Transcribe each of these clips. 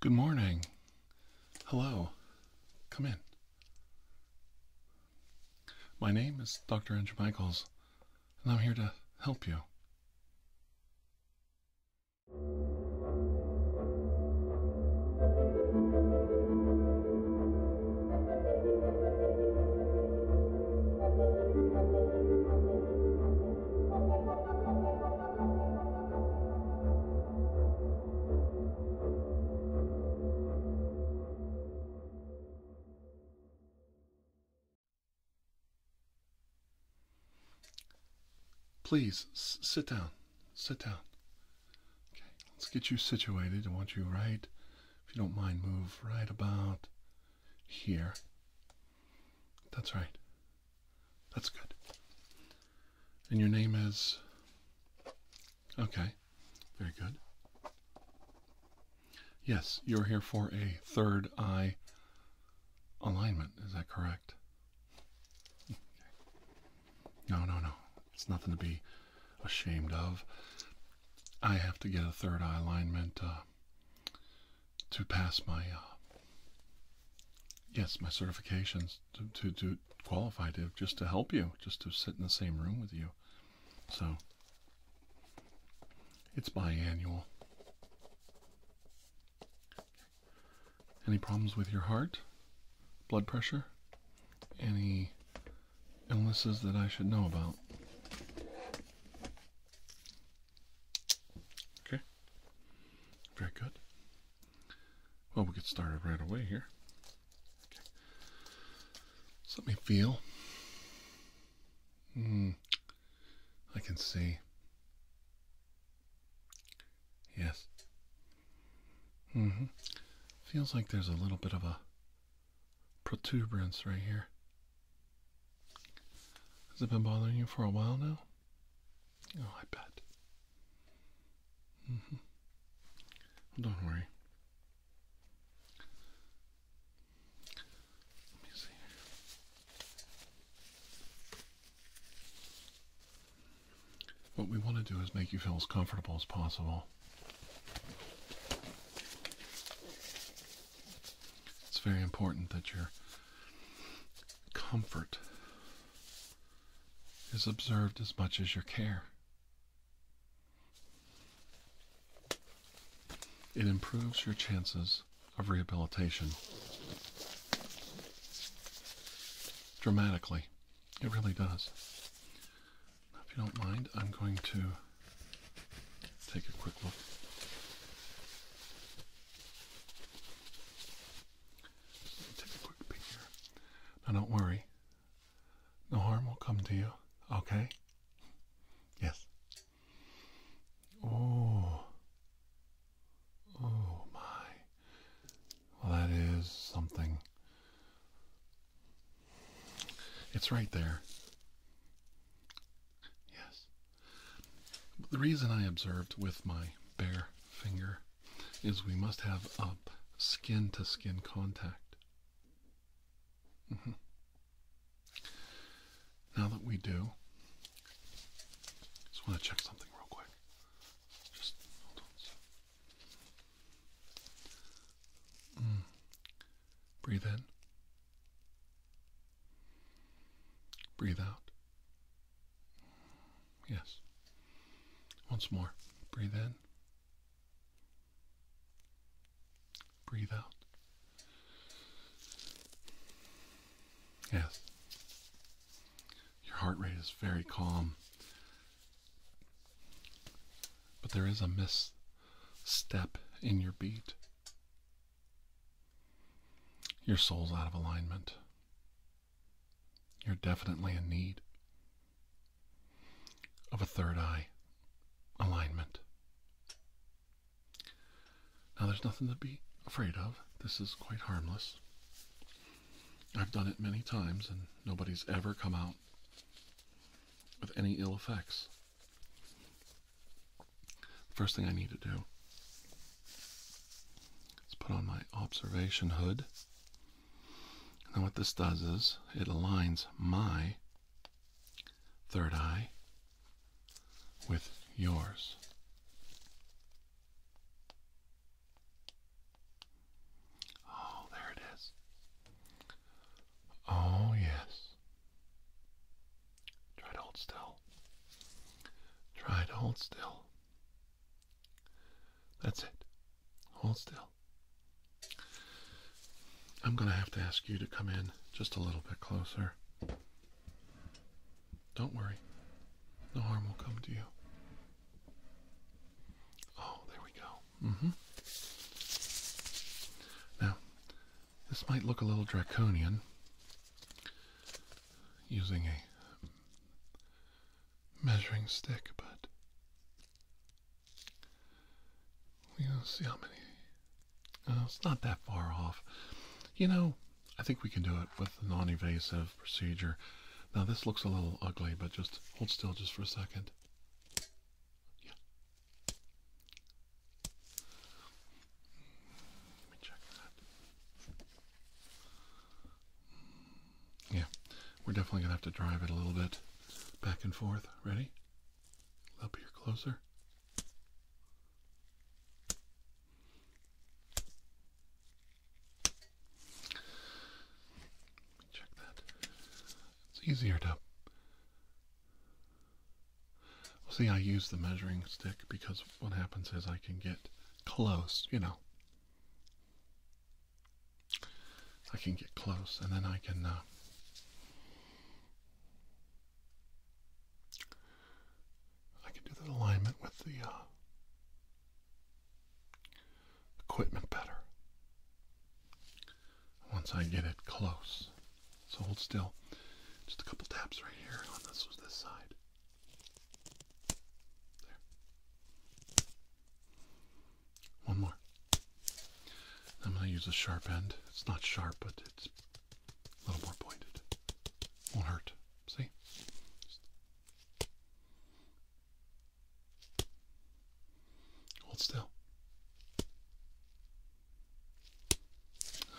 Good morning. Hello. Come in. My name is Dr. Andrew Michaels, and I'm here to help you. Please sit down. Sit down. Okay, let's get you situated. I want you right, if you don't mind, move right about here. That's right. That's good. And your name is. Okay, very good. Yes, you're here for a third eye alignment, is that correct? No, no, no. It's nothing to be ashamed of. I have to get a third eye alignment uh, to pass my uh, yes my certifications to to qualify to just to help you just to sit in the same room with you so it's biannual any problems with your heart blood pressure any illnesses that i should know about Okay. Very good. Well, we'll get started right away here. let me feel. Hmm. I can see. Yes. hmm Feels like there's a little bit of a protuberance right here. Has it been bothering you for a while now? Oh, I bet. Mm -hmm. don't worry. Let me see What we want to do is make you feel as comfortable as possible. It's very important that your comfort is observed as much as your care. It improves your chances of rehabilitation dramatically. It really does. If you don't mind, I'm going to take a quick look. Take a quick peek Now, don't worry. No harm will come to you, okay? Yes. Oh. Oh, my. Well, that is something. It's right there. Yes the reason I observed with my bare finger is we must have up skin to skin contact. Mm-hmm. Now that we do, just want to check something real quick. Just hold on. Mm. Breathe in. Breathe out. Yes. Once more. Breathe in. Breathe out. Yes. Your heart rate is very calm. But there is a misstep in your beat. Your soul's out of alignment. You're definitely in need of a third eye alignment. Now, there's nothing to be afraid of. This is quite harmless. I've done it many times, and nobody's ever come out with any ill effects. First thing I need to do is put on my observation hood. And what this does is it aligns my third eye with yours. Oh, there it is. Oh, yes. Try to hold still. Try to hold still. That's it. Hold still. I'm going to have to ask you to come in just a little bit closer. Don't worry. No harm will come to you. Oh, there we go. Mm-hmm. Now, this might look a little draconian using a measuring stick, but we'll see how many. Uh, it's not that far off. You know, I think we can do it with a non invasive procedure. Now, this looks a little ugly, but just hold still just for a second. Yeah, we're definitely gonna have to drive it a little bit back and forth. Ready? Up here closer. Let me check that. It's easier to See, I use the measuring stick because what happens is I can get close, you know. I can get close and then I can uh, I can do the alignment with the uh, equipment better. Once I get it close. So hold still. Just a couple taps right here on this was this side. There. One more. I'm going to use a sharp end. It's not sharp, but it's a little more pointed. Won't hurt. See? Hold still.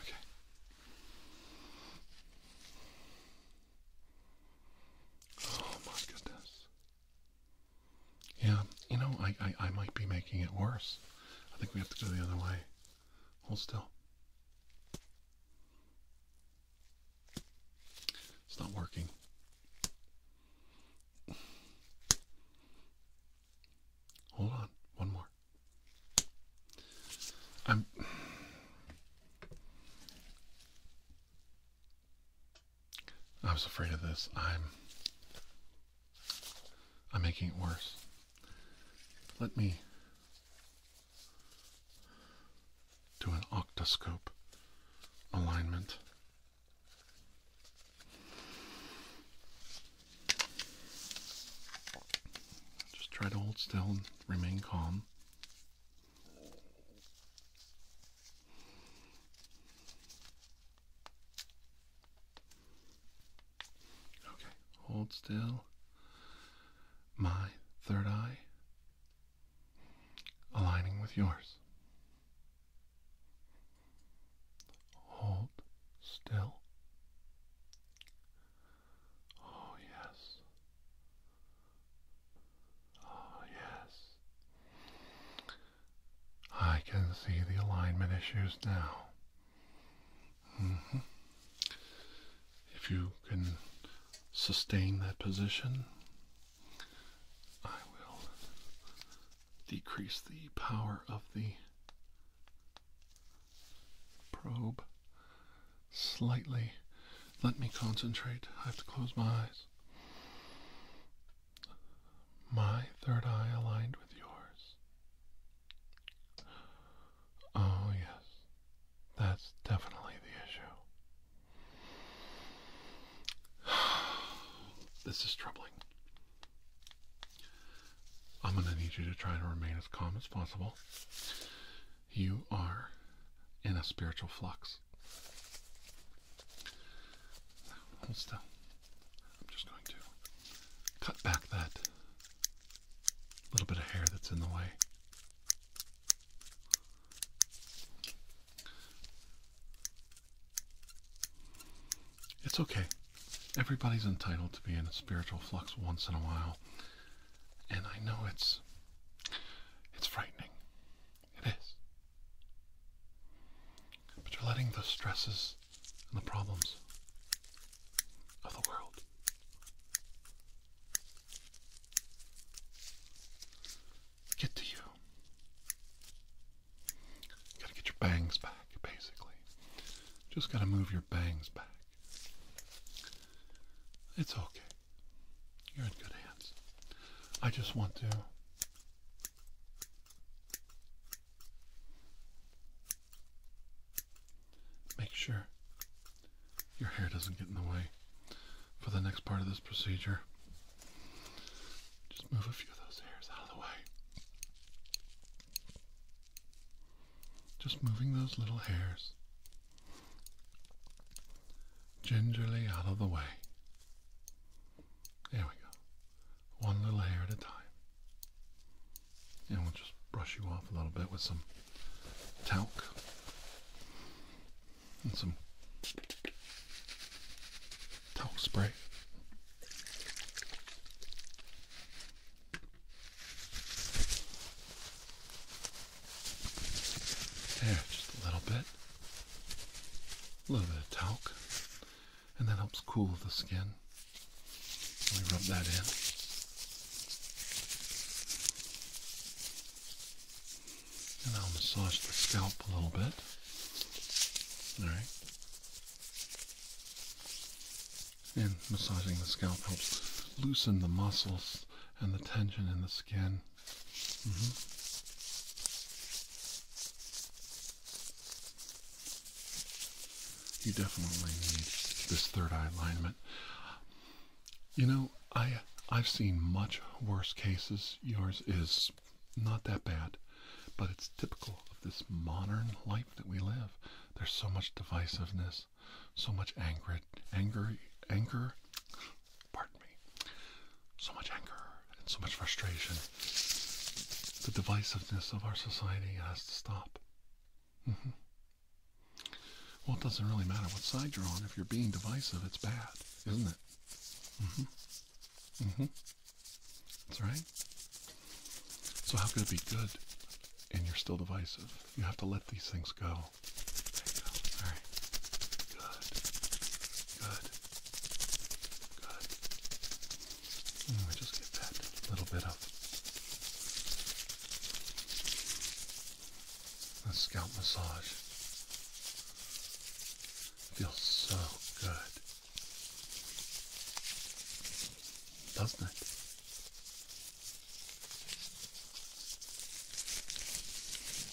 Okay. Oh my goodness. Yeah, you know, I, I, I might be making it worse. I think we have to go the other way. Hold still. It's not working. Hold on, one more. I'm. I am afraid of this. I'm. I'm making it worse. Let me do an octoscope alignment. Just try to hold still and remain calm. Okay, hold still. My third eye aligning with yours. Hold still. Oh, yes. Oh, yes. I can see the alignment issues now. Mm-hmm. If you can sustain that position, I will decrease the power of the probe slightly. Let me concentrate. I have to close my eyes. My third eye aligned with yours. Oh, yes. That's definitely the issue. this is troubling. I'm going to need you to try to remain as calm as possible you are in a spiritual flux. hold still. I'm just going to cut back that little bit of hair that's in the way. It's okay. Everybody's entitled to be in a spiritual flux once in a while. And I know it's it's frightening. It is. But you're letting the stresses and the problems of the world get to you. You gotta get your bangs back, basically. Just gotta move your bangs back. It's okay. You're in good hands. I just want to make sure your hair doesn't get in the way for the next part of this procedure. Just move a few of those hairs out of the way. Just moving those little hairs Gingerly out of the way. There we go. One little hair at a time. And we'll just brush you off a little bit with some talc and some talc spray. There, just a little bit. A little bit of talc. And that helps cool the skin. Let me rub that in. And I'll massage the scalp a little bit. Alright. And massaging the scalp helps loosen the muscles and the tension in the skin. Mm-hmm. You definitely need this third eye alignment. You know, I I've seen much worse cases. Yours is not that bad, but it's typical of this modern life that we live. There's so much divisiveness, so much anger, anger, anger, pardon me, so much anger and so much frustration. The divisiveness of our society has to stop. Mm-hmm. Well, it doesn't really matter what side you're on. If you're being divisive, it's bad, isn't it? Mm hmm. Mm hmm. That's right. So, how could it be good and you're still divisive? You have to let these things go. All right. Good. Good. Good. Mm, just get that little bit of the scalp massage. Feels so good. Doesn't it?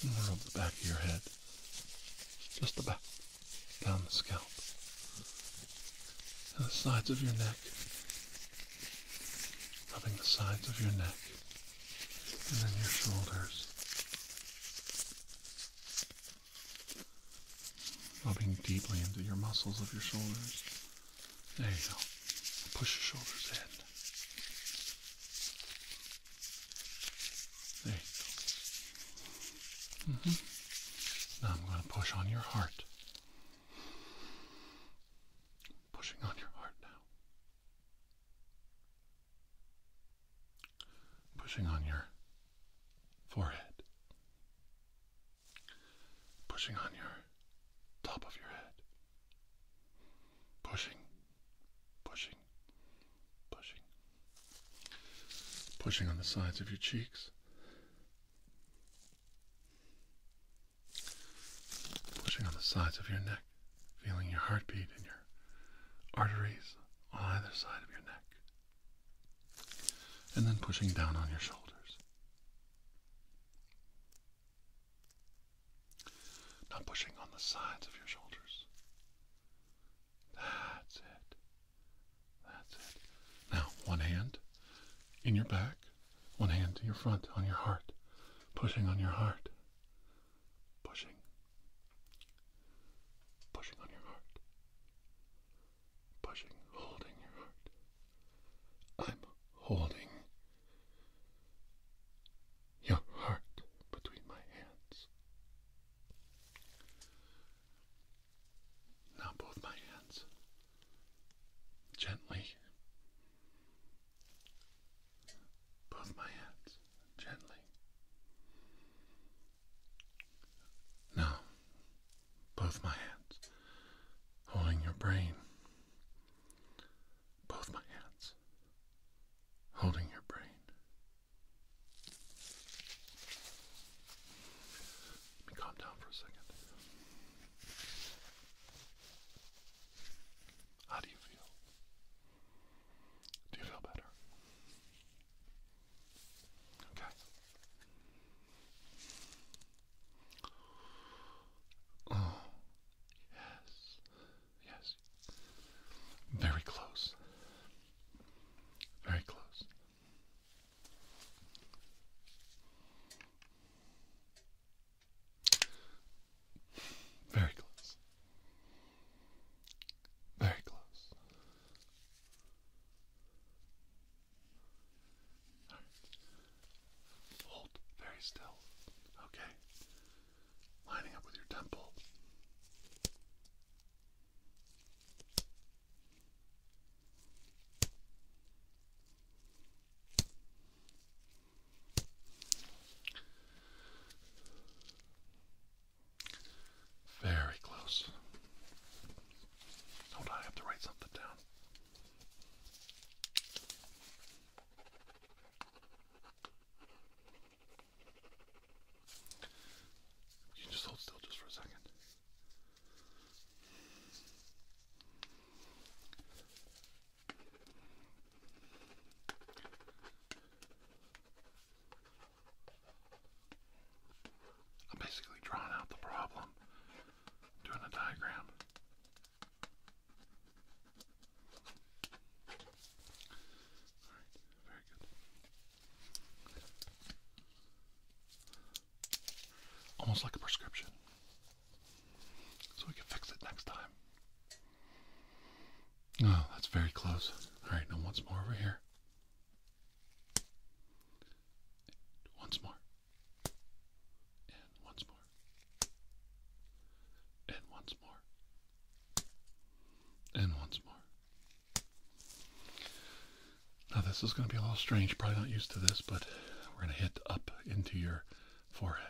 And rub the back of your head. Just the back. Down the scalp. And the sides of your neck. Rubbing the sides of your neck. And then your shoulders. Rubbing deeply into your muscles of your shoulders. There you go. Push your shoulders in. There you go. Mm -hmm. Now I'm going to push on your heart. Pushing on your heart now. Pushing on your forehead. Pushing on your top of your head. Pushing, pushing, pushing, pushing on the sides of your cheeks, pushing on the sides of your neck, feeling your heartbeat in your arteries on either side of your neck, and then pushing down on your shoulders. Now pushing on the sides of your shoulders. That's it. That's it. Now, one hand in your back, one hand to your front, on your heart, pushing on your heart, pushing, pushing on your heart, pushing, holding your heart. I'm holding your heart between my hands. Now, both my hands gently, both my hands gently. Now, both my hands holding your brain both my hands, holding your brain. Let me calm down for a second. How do you feel? Do you feel better? Okay. Oh, Yes. Yes. Very close. Very close. Very close. Very close. Hold very still. Okay. Lining up with your temple. Very close. Hold on, I have to write something down. You just hold still just for a second. I'm basically drawing out the problem, doing a diagram. Almost like a prescription. So we can fix it next time. Oh, that's very close. Alright, now once more over here. once more. And once more. And once more. And once more. Now, this is going to be a little strange. Probably not used to this, but we're going to hit up into your forehead.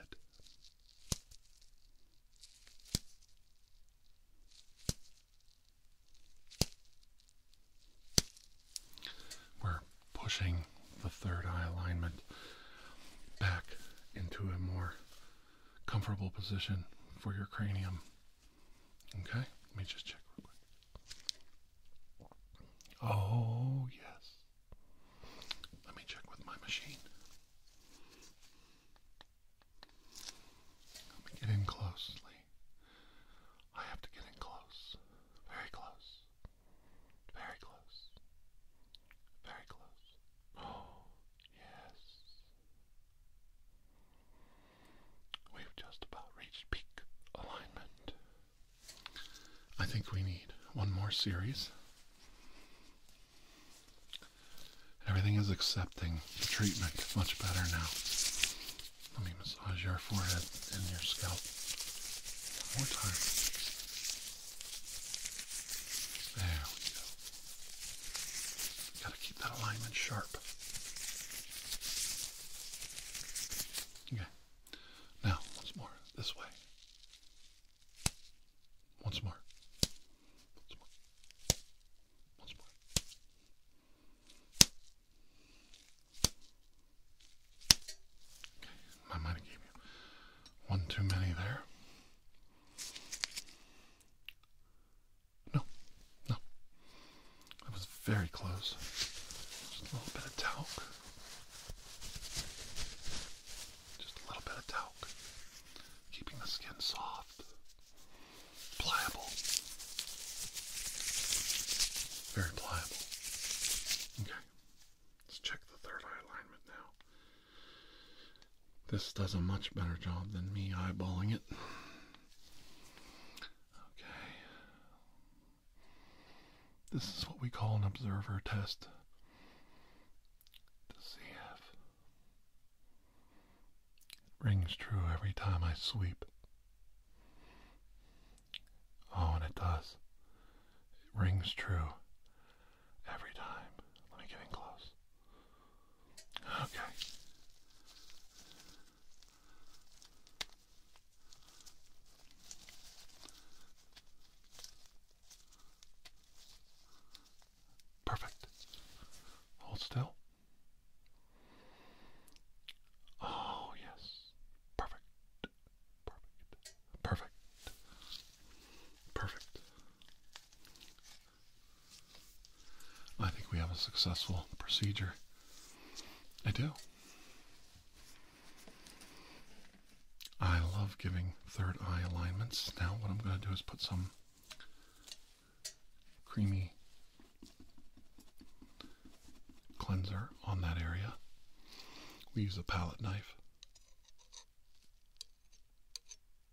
we pushing the third eye alignment back into a more comfortable position for your cranium. Okay, let me just check real quick. Oh, yes. Let me check with my machine. Let me get in closely. I have to get in close. Very close. Very close. Very close. Oh, yes. We've just about reached peak alignment. I think we need one more series. Everything is accepting the treatment much better now. Let me massage your forehead and your scalp one more time. There we go. Gotta keep that alignment sharp. Okay. Now, once more. This way. Once more. Once more. Once more. Okay, I might gave you one too many there. No, no. That was very close. Just a little bit of talc. Just a little bit of talc. Keeping the skin soft, pliable. Very pliable. Okay. Let's check the third eye alignment now. This does a much better job than me eyeballing it. Okay. This is what we call an observer test to see if rings true every time I sweep. Oh, and it does. It rings true every time. Let me get in close. Okay. Perfect. Hold still. Oh, yes. Perfect. Perfect. Perfect. Perfect. I think we have a successful procedure. I do. I love giving third eye alignments. Now, what I'm going to do is put some creamy cleanser on that area. We use a palette knife. There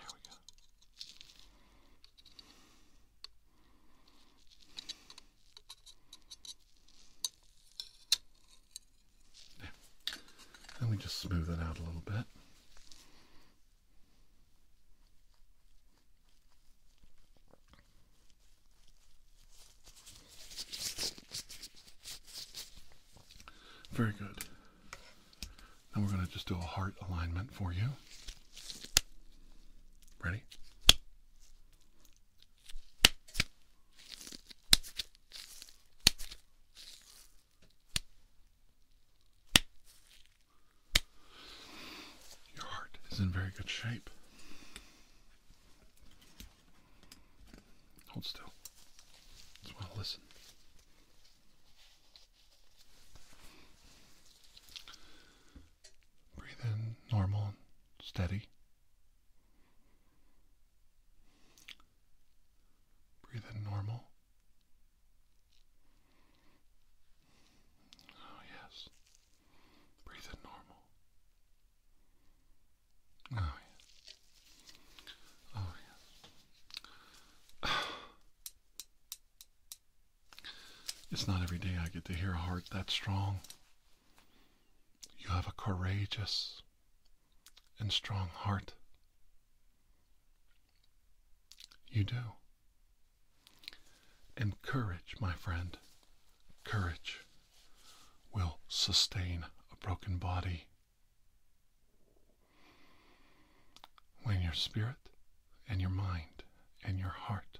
we go. Yeah. Then we just smooth it out a little bit. Very good. Now we're going to just do a heart alignment for you. Ready? Your heart is in very good shape. Hold still. As well, listen. Breathe in normal, steady. Breathe in normal, Oh, yes. Breathe in normal. Oh, yes. Oh, yes. It's not every day I get to hear a heart that strong. You have a courageous and strong heart. You do. And courage, my friend, courage will sustain a broken body. When your spirit and your mind and your heart,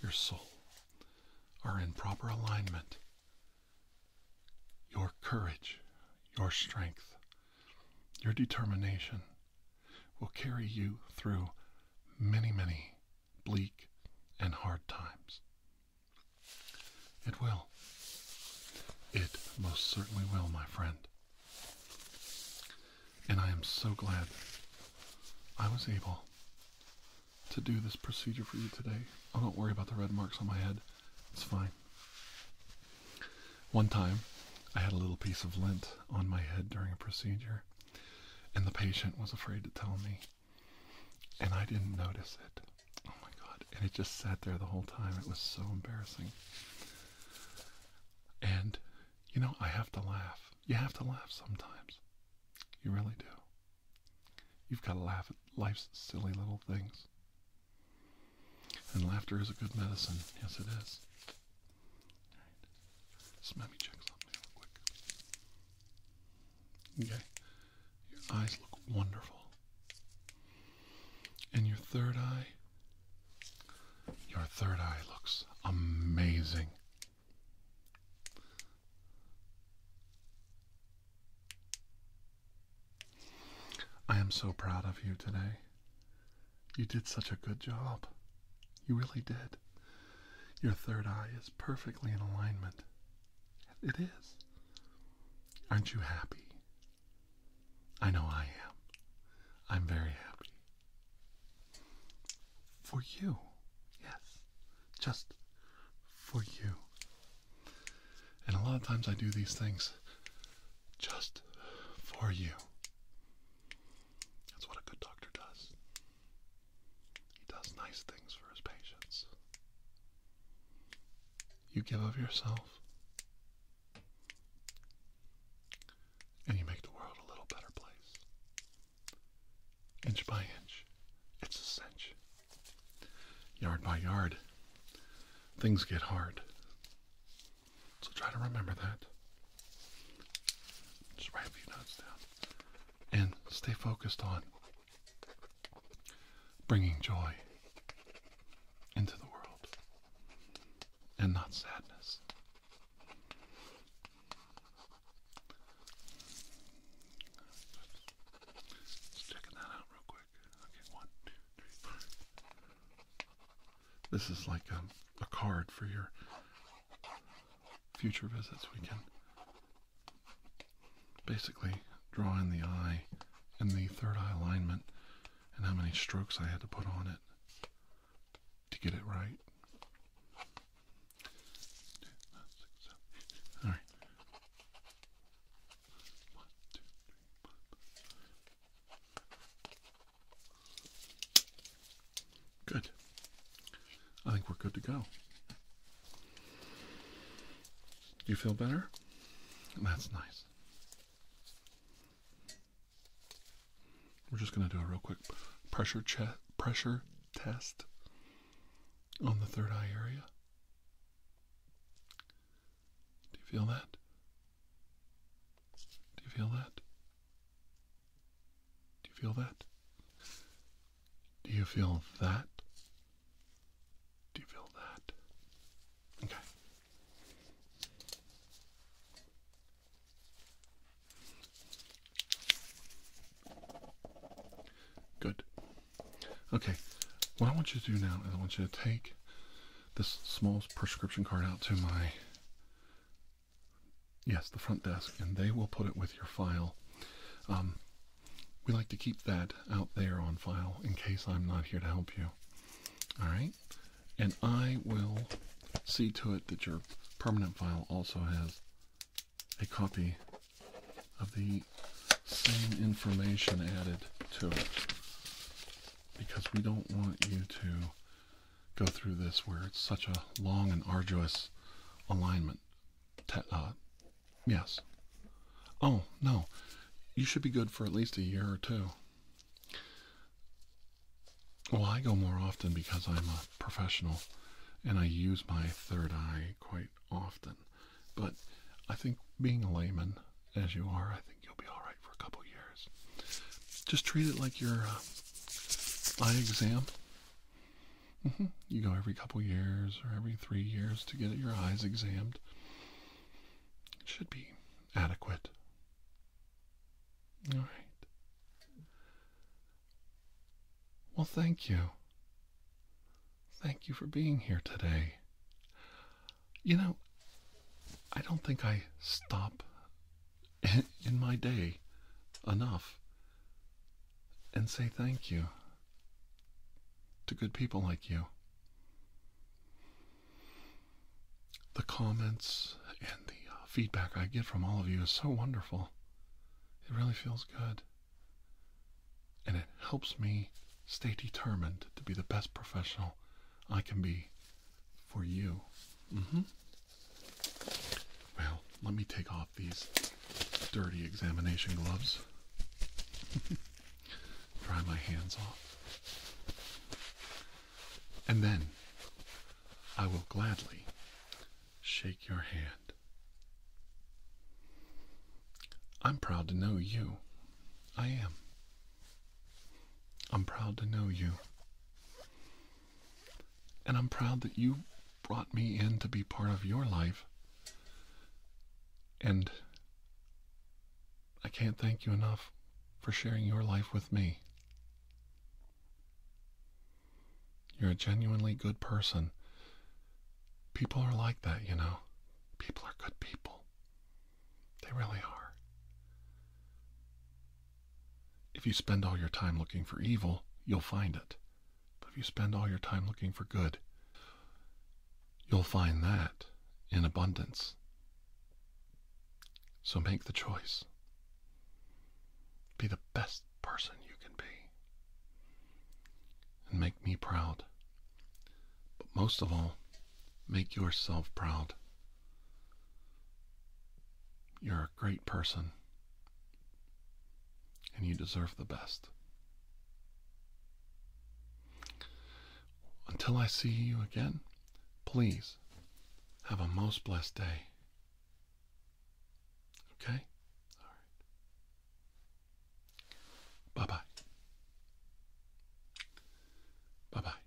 your soul, are in proper alignment, your courage, your strength, your determination will carry you through many, many bleak and hard times. It will. It most certainly will, my friend. And I am so glad I was able to do this procedure for you today. Oh, don't worry about the red marks on my head. It's fine. One time, I had a little piece of lint on my head during a procedure, and the patient was afraid to tell me, and I didn't notice it. Oh my god, and it just sat there the whole time. It was so embarrassing. And, you know, I have to laugh. You have to laugh sometimes. You really do. You've got to laugh at life's silly little things. And laughter is a good medicine. Yes, it is let me check something real quick. Okay. Your eyes look wonderful. And your third eye. Your third eye looks amazing. I am so proud of you today. You did such a good job. You really did. Your third eye is perfectly in alignment. It is. Aren't you happy? I know I am. I'm very happy. For you. Yes. Just for you. And a lot of times I do these things just for you. That's what a good doctor does. He does nice things for his patients. You give of yourself, and you make the world a little better place. Inch by inch, it's a cinch. Yard by yard, things get hard. So try to remember that. Just write a few notes down. And stay focused on bringing joy into the world and not sadness. Just checking that out real quick. Okay, one, two, three, four. This is like um, a, card for your future visits. We can basically draw in the eye and the third eye alignment and how many strokes I had to put on it to get it right. All right. Good. I think we're good to go. Do you feel better? That's nice. We're just going to do a real quick pressure pressure test on the third eye area. Do you feel that? Do you feel that? Do you feel that? Do you feel that? Do you feel that? Okay. Good. Okay. What I want you to do now is I want you to take this small prescription card out to my Yes, the front desk, and they will put it with your file. Um, we like to keep that out there on file in case I'm not here to help you. All right, and I will see to it that your permanent file also has a copy of the same information added to it because we don't want you to go through this where it's such a long and arduous alignment. Uh, yes. Oh, no. You should be good for at least a year or two. Well, I go more often because I'm a professional and I use my third eye quite often. But I think being a layman, as you are, I think you'll be all right for a couple years. Just treat it like you're. Uh, eye exam. Mm-hmm. You go every couple years or every three years to get your eyes examined. It should be adequate. All right. Well, thank you. Thank you for being here today. You know, I don't think I stop in my day enough and say thank you to good people like you. The comments and the uh, feedback I get from all of you is so wonderful. It really feels good. And it helps me stay determined to be the best professional I can be for you. Mm-hmm. Well, let me take off these dirty examination gloves. Dry my hands off. And then I will gladly shake your hand. I'm proud to know you. I am. I'm proud to know you. And I'm proud that you brought me in to be part of your life. And I can't thank you enough for sharing your life with me. You're a genuinely good person. People are like that, you know. People are good people. They really are. If you spend all your time looking for evil, you'll find it. But if you spend all your time looking for good, you'll find that in abundance. So make the choice. Be the best person you can be. And make me proud. But most of all, make yourself proud. You're a great person, and you deserve the best. Until I see you again, please have a most blessed day. Okay? All right. Bye bye. Bye bye.